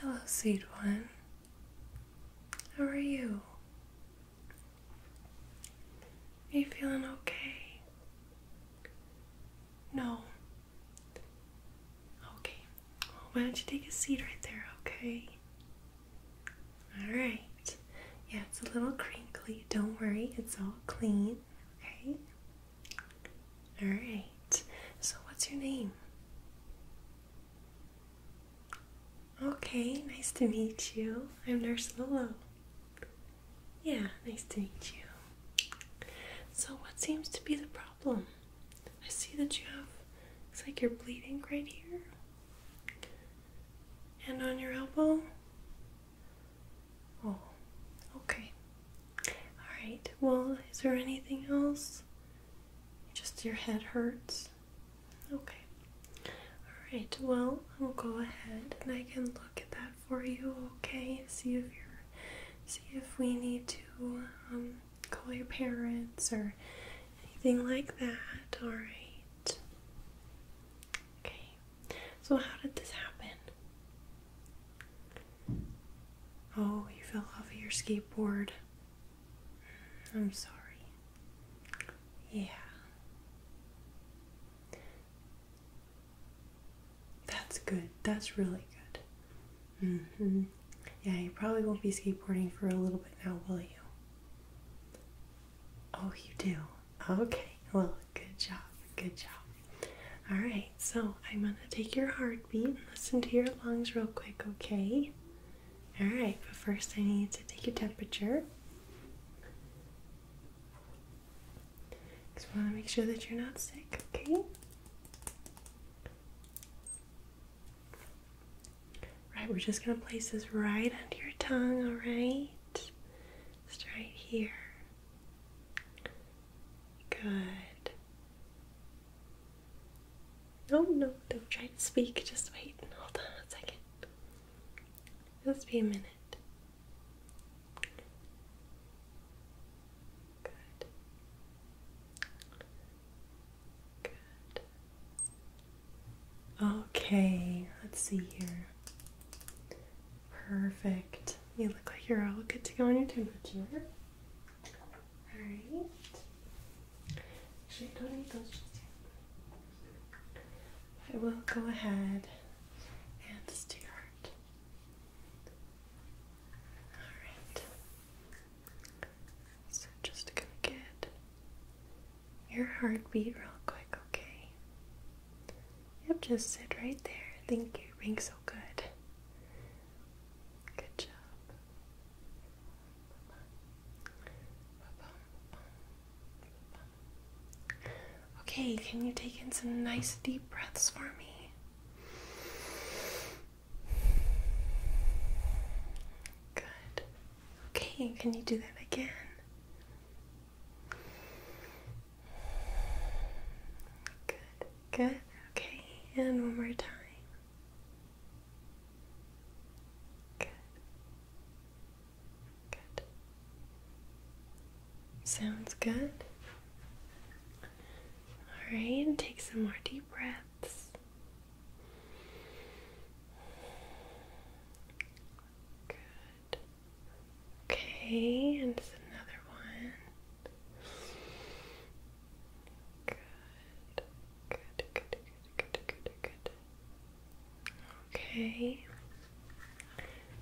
Hello, sweet one. How are you? Are you feeling okay? No, Okay. why don't you take a seat right there, okay? Alright. Yeah, it's a little crinkly. Don't worry, it's all clean, okay? Alright. So, what's your name? Okay, nice to meet you. I'm Nurse Lolo. Yeah, nice to meet you. So, what seems to be the problem? I see that you have, it's like you're bleeding right here and on your elbow. Oh, okay. Alright, well, is there anything else? Just your head hurts? Okay. Alright, well, I'll go ahead and I can look at that for you, okay? See if you're see if we need to um, call your parents or anything like that. All right. Okay. So how did this happen? Oh, you fell off your skateboard. Mm, I'm sorry. Yeah. That's good. That's really good. Mm-hmm. Yeah, you probably won't be skateboarding for a little bit now, will you? Oh, you do. Okay. Well, good job. Good job. All right. So I'm going to take your heartbeat and listen to your lungs real quick, okay? All right. But first, I need to take your temperature. Just want to make sure that you're not sick, okay? Right, we're just going to place this right under your tongue, alright? Just right here. Good. No, oh, no, don't try to speak. Just wait. Hold on a second. Just be a minute. Good. Good. Okay, let's see here. Perfect. You look like you're all good to go on your temperature. Alright. I will go ahead and start. Alright. So just gonna get your heartbeat real quick, okay? Yep, just sit right there. Thank you. Being so good. Good job. Okay, can you take in some nice deep breaths for me? Good. Okay, can you do that again? Good, good. Okay, and one more time. Good. Good. Sounds good. All right, take some more deep breaths. Good. Okay, and another one. Good. Good, good, good, good, good, good. Okay.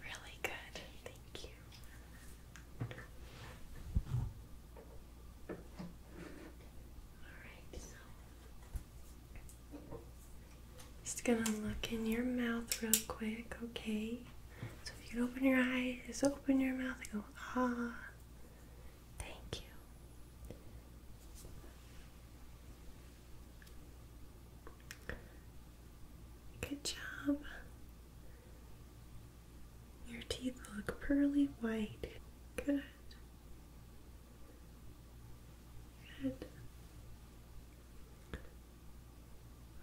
Really good. Thank you just gonna look in your mouth real quick, okay? So if you open your eyes, just open your mouth and go, ah, thank you. Good job. Your teeth look pearly white. Good. Good.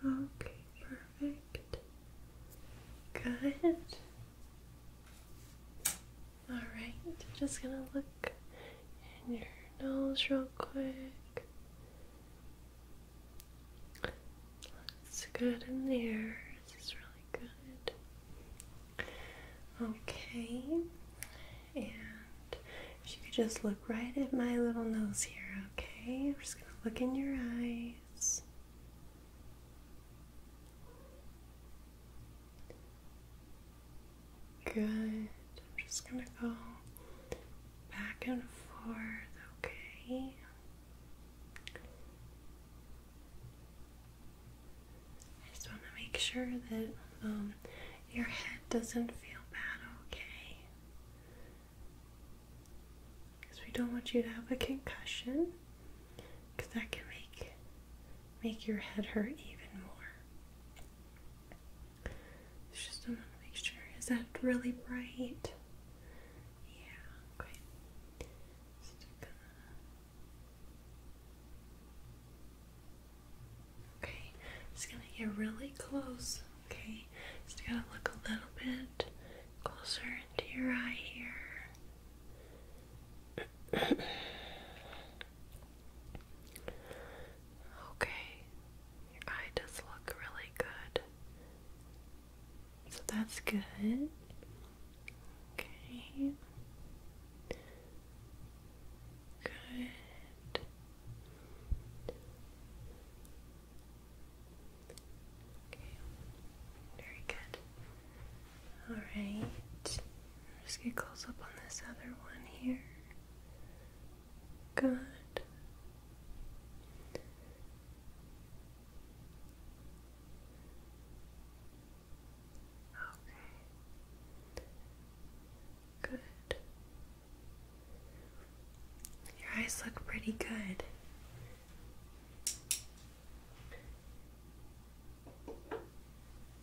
Okay, perfect. Good. All right, just gonna look in your nose real quick. It's good in there. This is really good. Okay, and if you could just look right at my little nose here, okay? I'm just gonna look in your eyes. Good. I'm just gonna go back and forth, okay? I just want to make sure that um, your head doesn't feel bad, okay? Because we don't want you to have a concussion, because that can make make your head hurt even more. It's just I want to make sure. Is that really bright? Yeah. Okay. Okay, just gonna get really close. Okay, just going to look a little bit closer into your eye here. Okay, your eye does look really good. So that's good. Okay. Good. Okay. Very good. All right. Just get close up on this other one here. Good. Okay. Good. Your eyes look pretty good.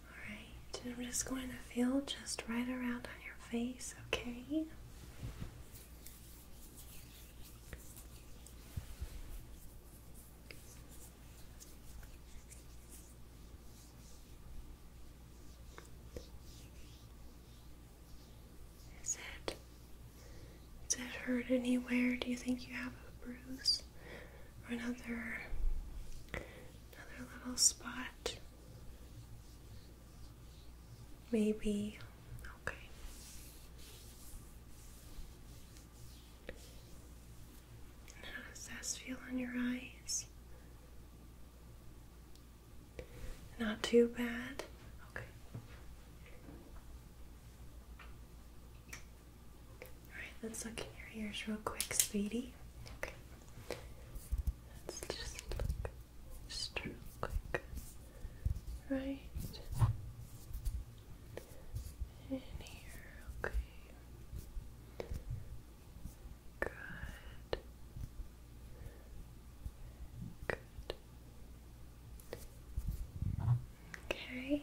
Alright, I'm just going to feel just right around on your face, okay? Is it? Does it hurt anywhere? Do you think you have a bruise or another another little spot? Maybe. Okay. And how does this feel on your eyes? Not too bad. Okay. Alright, let's look in your ears real quick, sweetie. Okay. Let's just look just real quick. Right in here, okay. Good. Good. Okay.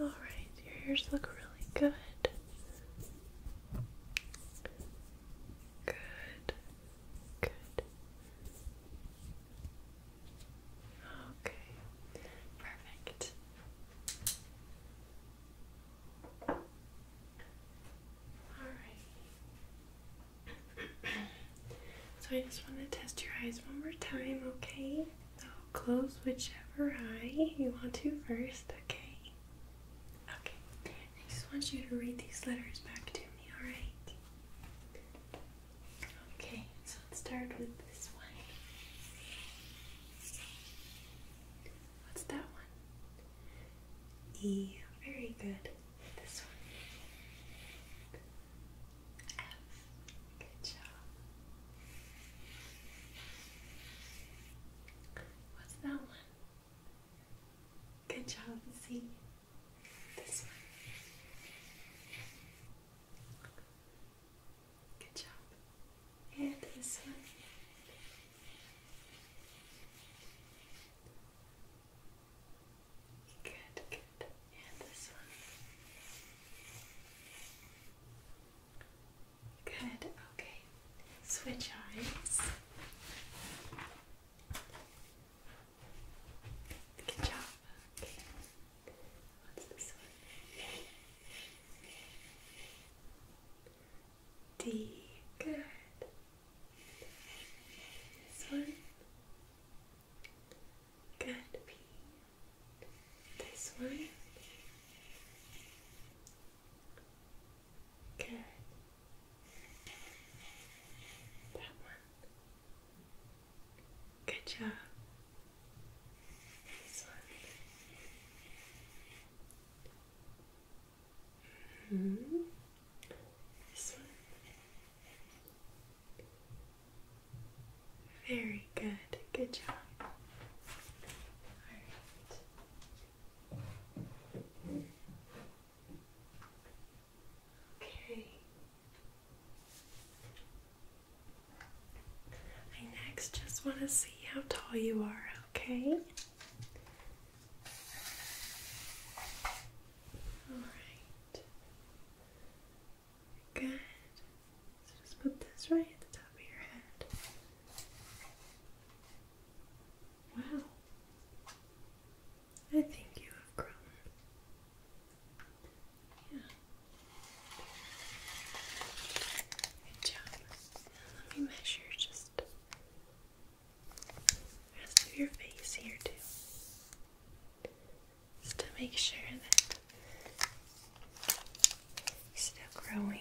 All right, your ears look really good. Good. Good. Okay. Perfect. All right. so I just want to test your eyes one more time, okay? So close whichever eye you want to first, okay? Okay, I just want you to read these letters back to me, alright? Okay, so let's start with this one. What's that one? E. Very good. This one. F. Good job. What's that one? Good job, see this one. Good job. And this one. Good, good. And this one. Good, okay. Switch eyes. Good job. Okay. What's this one? D. Good. This one. Good. P. This one. Okay. That one. Good job. This one. -hmm. This one. Very good. Good job. All right. Okay. next just want to see how tall you are, okay? Alright. Good. So just put this right at the top of your head. Wow. I think you have grown. Yeah. Good job. let me measure just rest of your face here too. Just to make sure that you're still growing.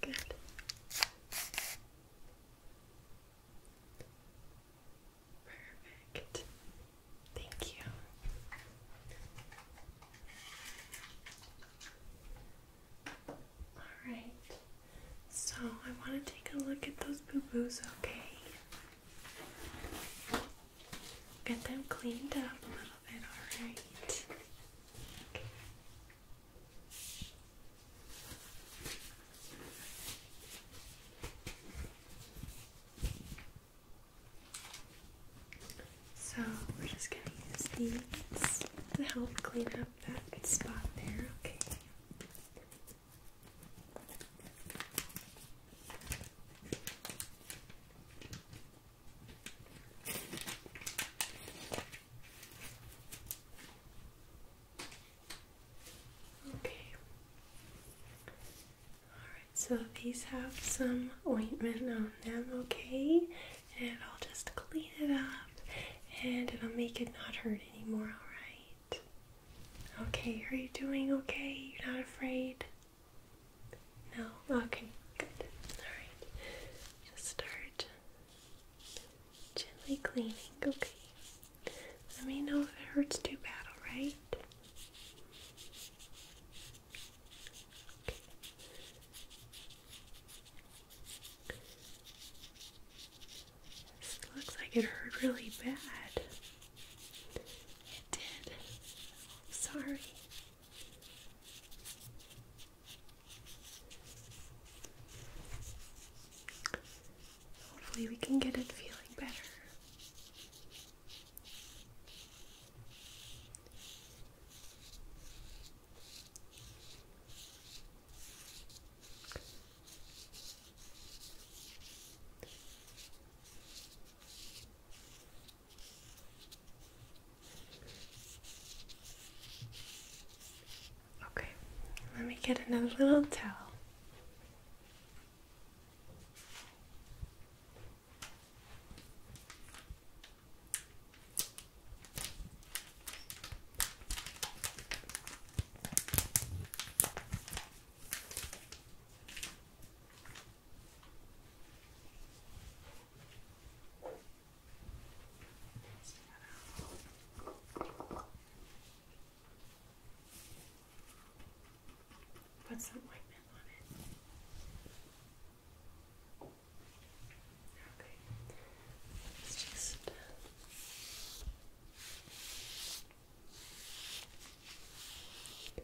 Good. Perfect. Thank you. All right. So I want to take a look at those boo boos, okay? Get them cleaned up a little bit, alright? So we're just going to use these to help clean up that spot there, okay? Okay. Alright, so these have some ointment on them, okay? And i will just clean it up and it'll make it not hurt anymore, alright? Okay, are you doing okay? You're not afraid? No? Okay, good. Alright. Just start gently cleaning. Okay. Let me know if it hurts too bad, alright? looks like it hurt really bad. It did. sorry. Hopefully, we can get it feeling better. Okay, let me get another little towel. Put some ointment on it. Okay, let's just. Uh,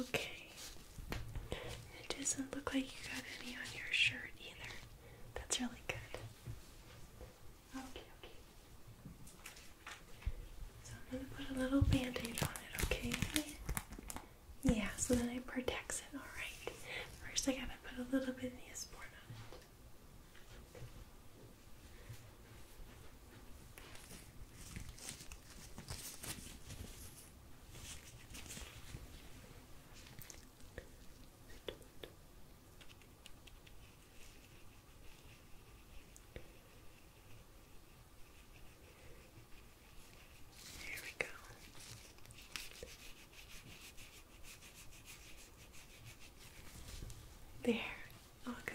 Okay. It doesn't look like you got any on your shirt either. That's really good. Okay, okay. So I'm gonna put a little band-aid on it, okay? Yeah, so then I protect it, alright. First I gotta put a little bit of the on there we go. There, all good.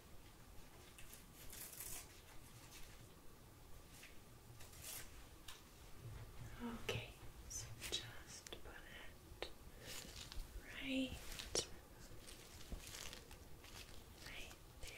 Okay, so just put it right, right there.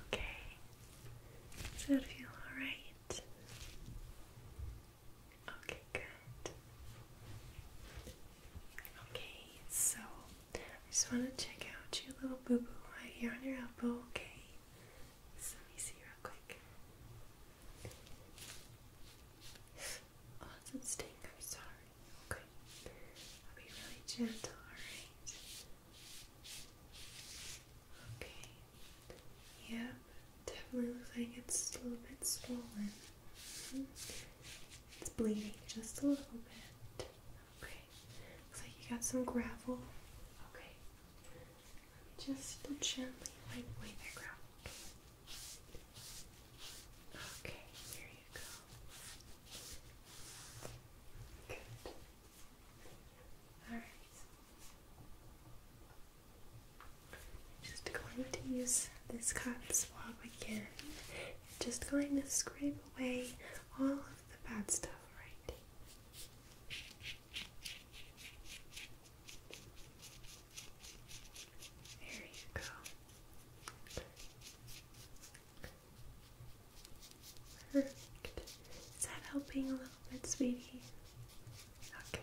Okay. Does that feel alright? Okay, good. Okay, so I just want to check out your little boo boo right here on your elbow, okay? let me see real quick. Oh, it doesn't I'm sorry. Okay. I'll be really gentle, alright? Okay. Yep. Definitely looks like it's a little bit swollen. Mm-hmm. It's bleeding just a little bit. Okay. Looks like you got some gravel. Okay. Just gently wipe away the gravel. Okay, there you go. Good. Alright. Just going to use this cotton swab again. Just going to scrape away all of the bad stuff, right? There you go. Is that helping a little bit, sweetie? Okay.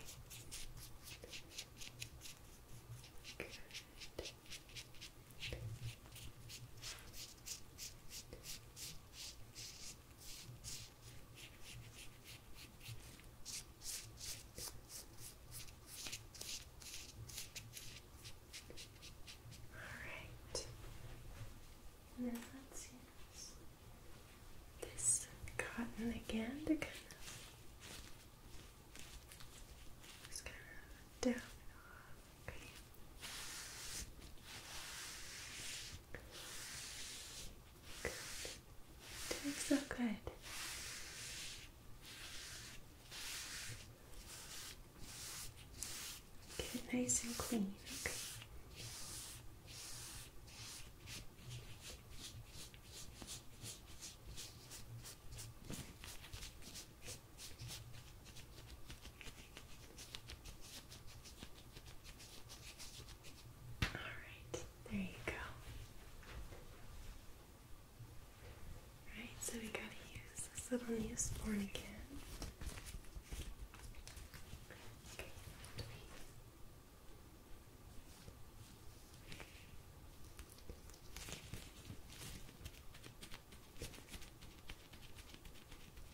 Alright. Now let's use this cotton again to kind of just kind of down it off. Okay. Good. Doing so good. Get it nice and clean. Okay. Alright, there you go. Right, so we gotta use this little Neosporin again. Okay,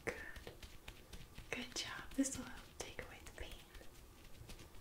Good. Good job. This will help take away the pain.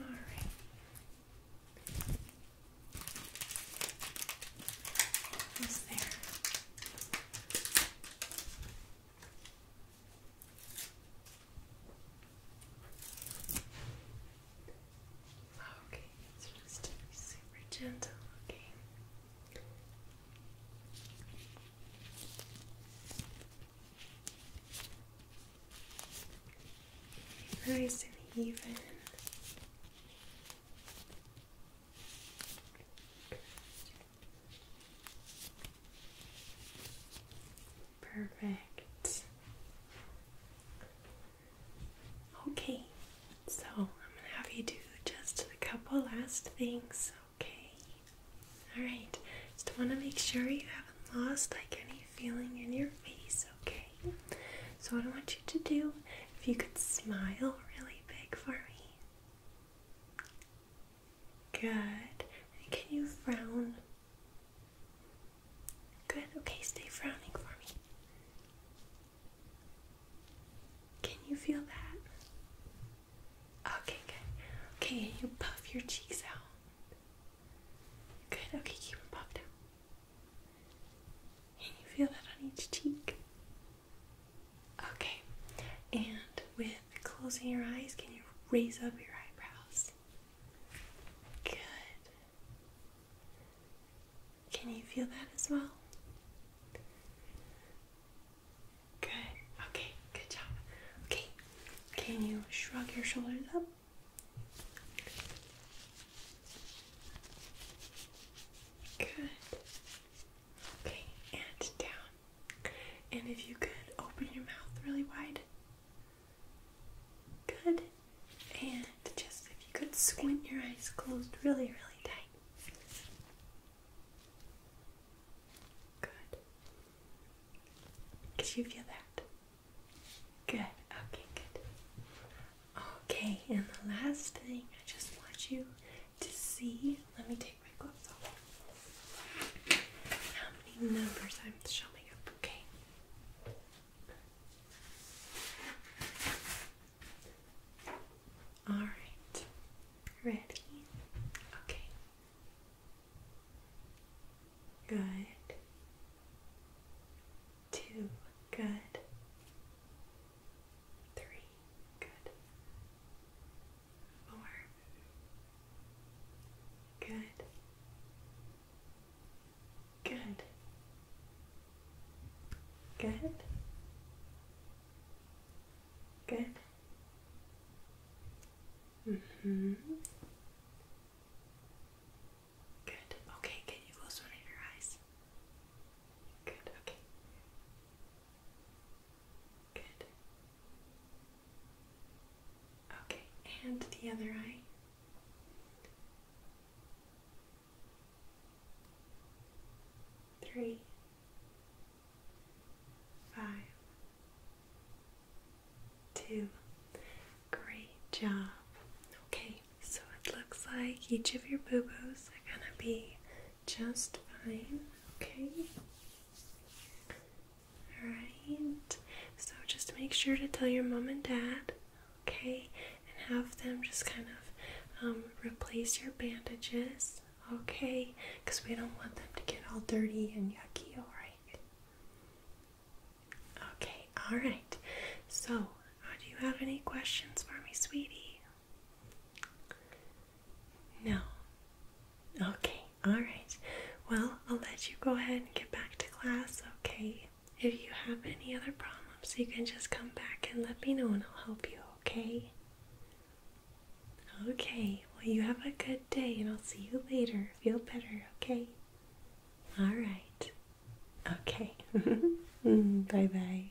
All right. Almost there. Okay, it's just super gentle, okay. Nice and even. Perfect. Okay, so I'm gonna have you do just a couple last things, okay? Alright, just wanna make sure you haven't lost like any feeling in your face, okay? So, what I want you to do, if you could smile really big for me. Good. can you frown? Good, okay, stay frowning for me. Can you feel that? Okay, good. Okay, you puff your cheeks out. Good, okay, keep them puffed out. Can you feel that on each cheek? Okay, and with closing your eyes, can you raise up your eyebrows? Good. Can you feel that as well? Good. Okay, good job. Okay, can you shrug your shoulders up? Good. Okay, and down. And if you could open your mouth really wide. Good. And just if you could squint your eyes closed really, really tight. Good. Could you feel that? Good. Okay, good. Okay, and the last thing I just want you to see. Let me take my gloves off. How many numbers I'm showing up, okay? All right. Ready? Okay. Good. Two. Good. Three. Good. Four. Good. Good. Good. Good. Mm hmm Good. Okay, can you close one of your eyes? Good, okay. Good. Okay, and the other eye three, five, two. Great job. Okay, so it looks like each of your boo boos are gonna be just fine. Okay. Alright, so just make sure to tell your mom and dad okay, and have them just kind of um, replace your bandages, okay, because we don't want them to get all dirty and yucky, alright? Okay, alright. So, uh, do you have any questions for me, sweetie? No. Okay, alright. Well, I'll let you go ahead and get back to class, okay? If you have any other problems, you can just come back and let me know, and I'll help you, okay? Okay, well, you have a good day, and I'll see you later. Feel better, okay? All right. Okay. bye bye.